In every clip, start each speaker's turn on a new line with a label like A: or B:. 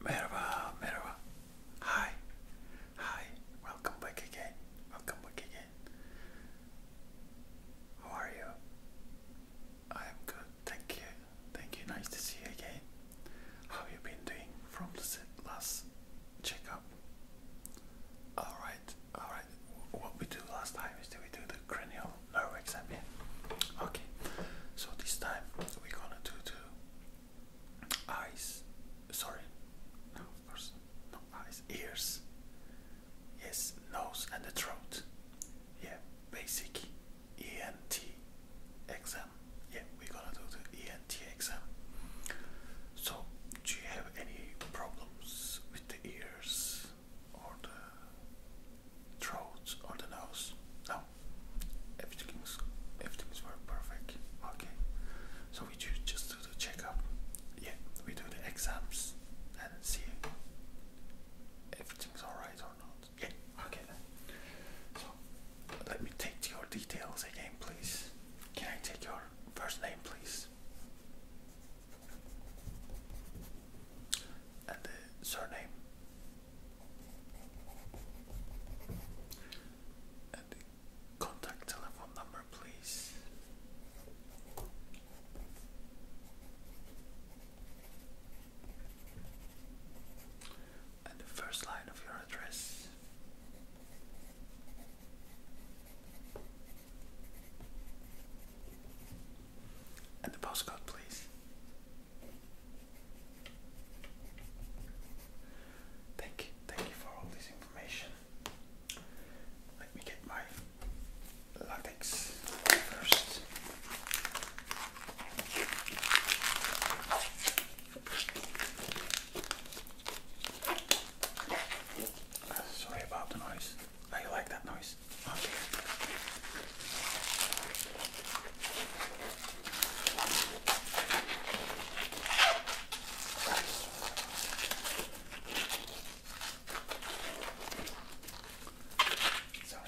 A: Merhaba, merhaba. Hi, hi. Welcome back again. Welcome back again. How are you? I'm good, thank you. Thank you. Nice to see you again. How have you been doing from the last checkup? All right, all right. What we do last time is that we do the cranial nerve exam. Yeah. Okay. So this time we're gonna do the eyes. Sorry. No, of course. No eyes. Ears. Yes. Nose and the throat. Yeah. Basic ENT exam. Yeah, we're gonna do the ENT exam. So, do you have any problems with the ears or the throat or the nose? No, everything's everything's perfect. Okay, so we just do the checkup. Yeah, we do the exams and see if everything's alright or not. Yeah, okay So let me take your details again, please. Can I take your first name, please? And the surname? And the contact telephone number, please and the first line of your address. And the postcode, please. Thank you, thank you for all this information. Let me get my latex first. Sorry about the noise. I like that noise. Okay. Sorry.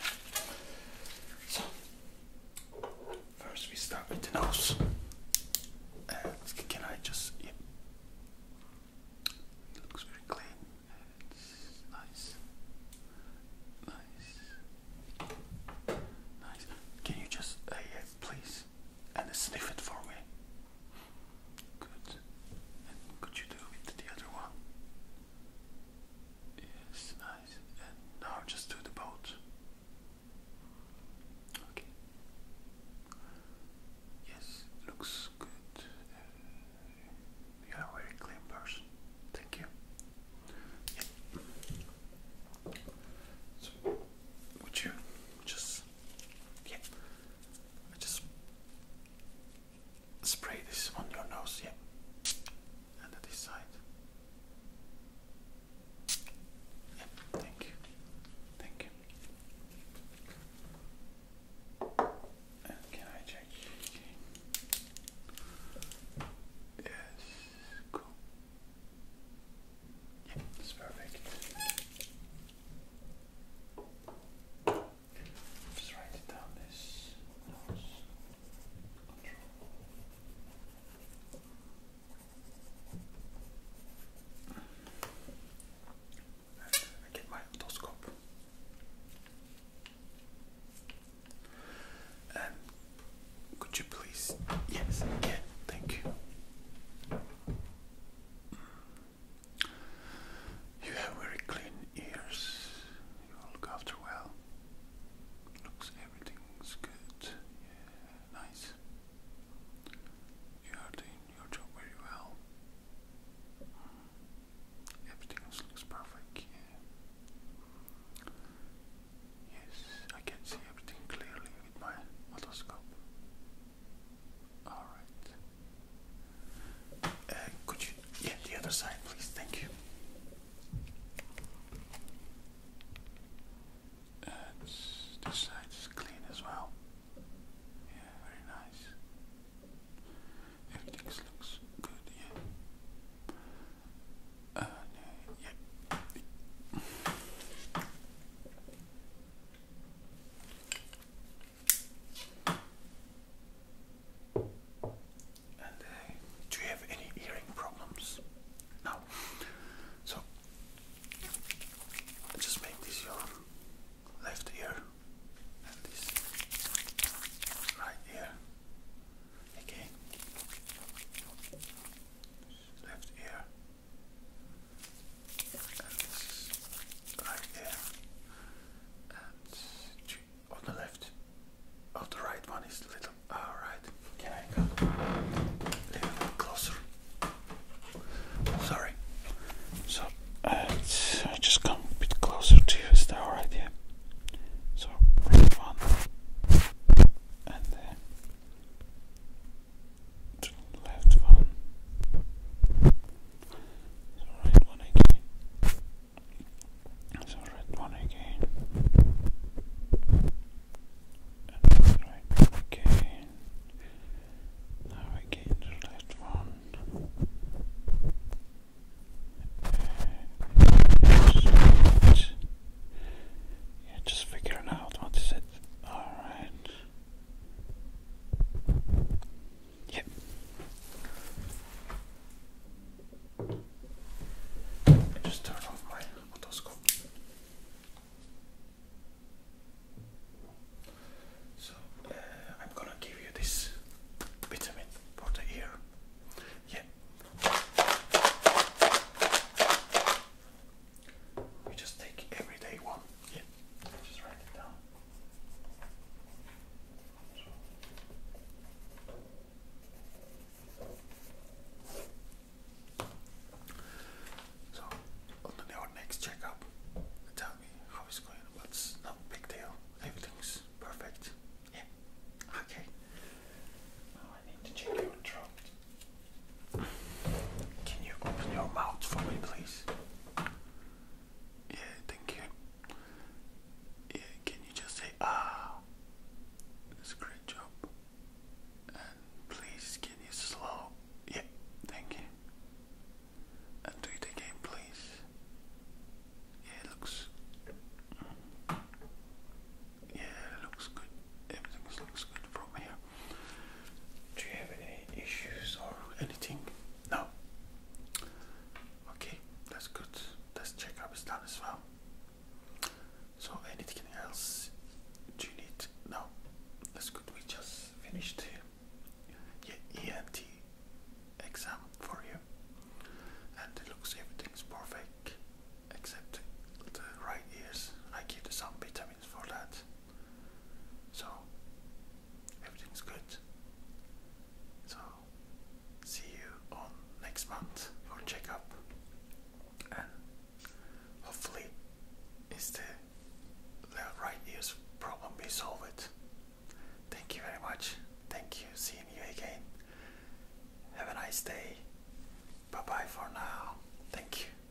A: First, we start with the nose. can I just? looks very clean. nice. Nice. Nice. Can you just, uh, please, and sniff it for me? Good. could you do it the other one? Yes, now just do the boat. Okay. Yes, looks good. Uh, you are a very clean person. Thank you. would you just, yeah, I just spray this on your nose, yeah, and at this side. Thank you. Thank you. can I check? Yes. Cool. Yeah, that's perfect. Just write down this get my otoscope. Um, could you please? Yes, yeah, thank you. You have very clean ears you look after well. Looks everything's good. nice. You are doing your job very well. Mm. Everything looks perfect. Yes, I can see everything clearly with my otoscope. Alright. Uh, could you? Yeah, the other side, please. Thank you. Uh, this side is clean as well. Yeah, very nice. Everything looks good. yeah. Uh, uh, do you have any hearing problems? No. So just make this your left ear and this right ear. Again. Left ear. And this right ear. And much on the left. On oh, the right one is a little. Alright, ah, can I come a little bit closer? Sorry. So, uh, I just come a bit closer to you. Is that alright? Yeah. So, one. And then. Uh, left one so red one again. So red one again. And right one again. Now again the red one. yeah, just figuring out what is it. Alright. Yep. just turn off my otoscope. So uh, I'm gonna give you this vitamin for the ear. Yeah. You just take everyday one. Yeah. Just write it down. So on the next checkup, tell me how it's going, but it's big deal. Everything's perfect. Yeah. Okay. Now I need to check your throat. Can you open your mouth for me, please? Yeah, thank you. Yeah, can you just say ah? That's a great job. And please, can you slow? Yeah, thank you. And do it again, please. Yeah, looks. Yeah, looks good. Everything looks good from here. Do you have any issues or anything? No. Okay, that's good. This checkup is done as well. So anything else do you need? No. That's good. We just finished your ENT exam for you. And it looks everything's perfect except the right ears. I give some vitamins for that. So everything's good. So see you on next month for checkup and hopefully is the right ears problem be solved. Thank you very much. Thank you seeing you again. Have a nice day. Bye bye for now. Thank you.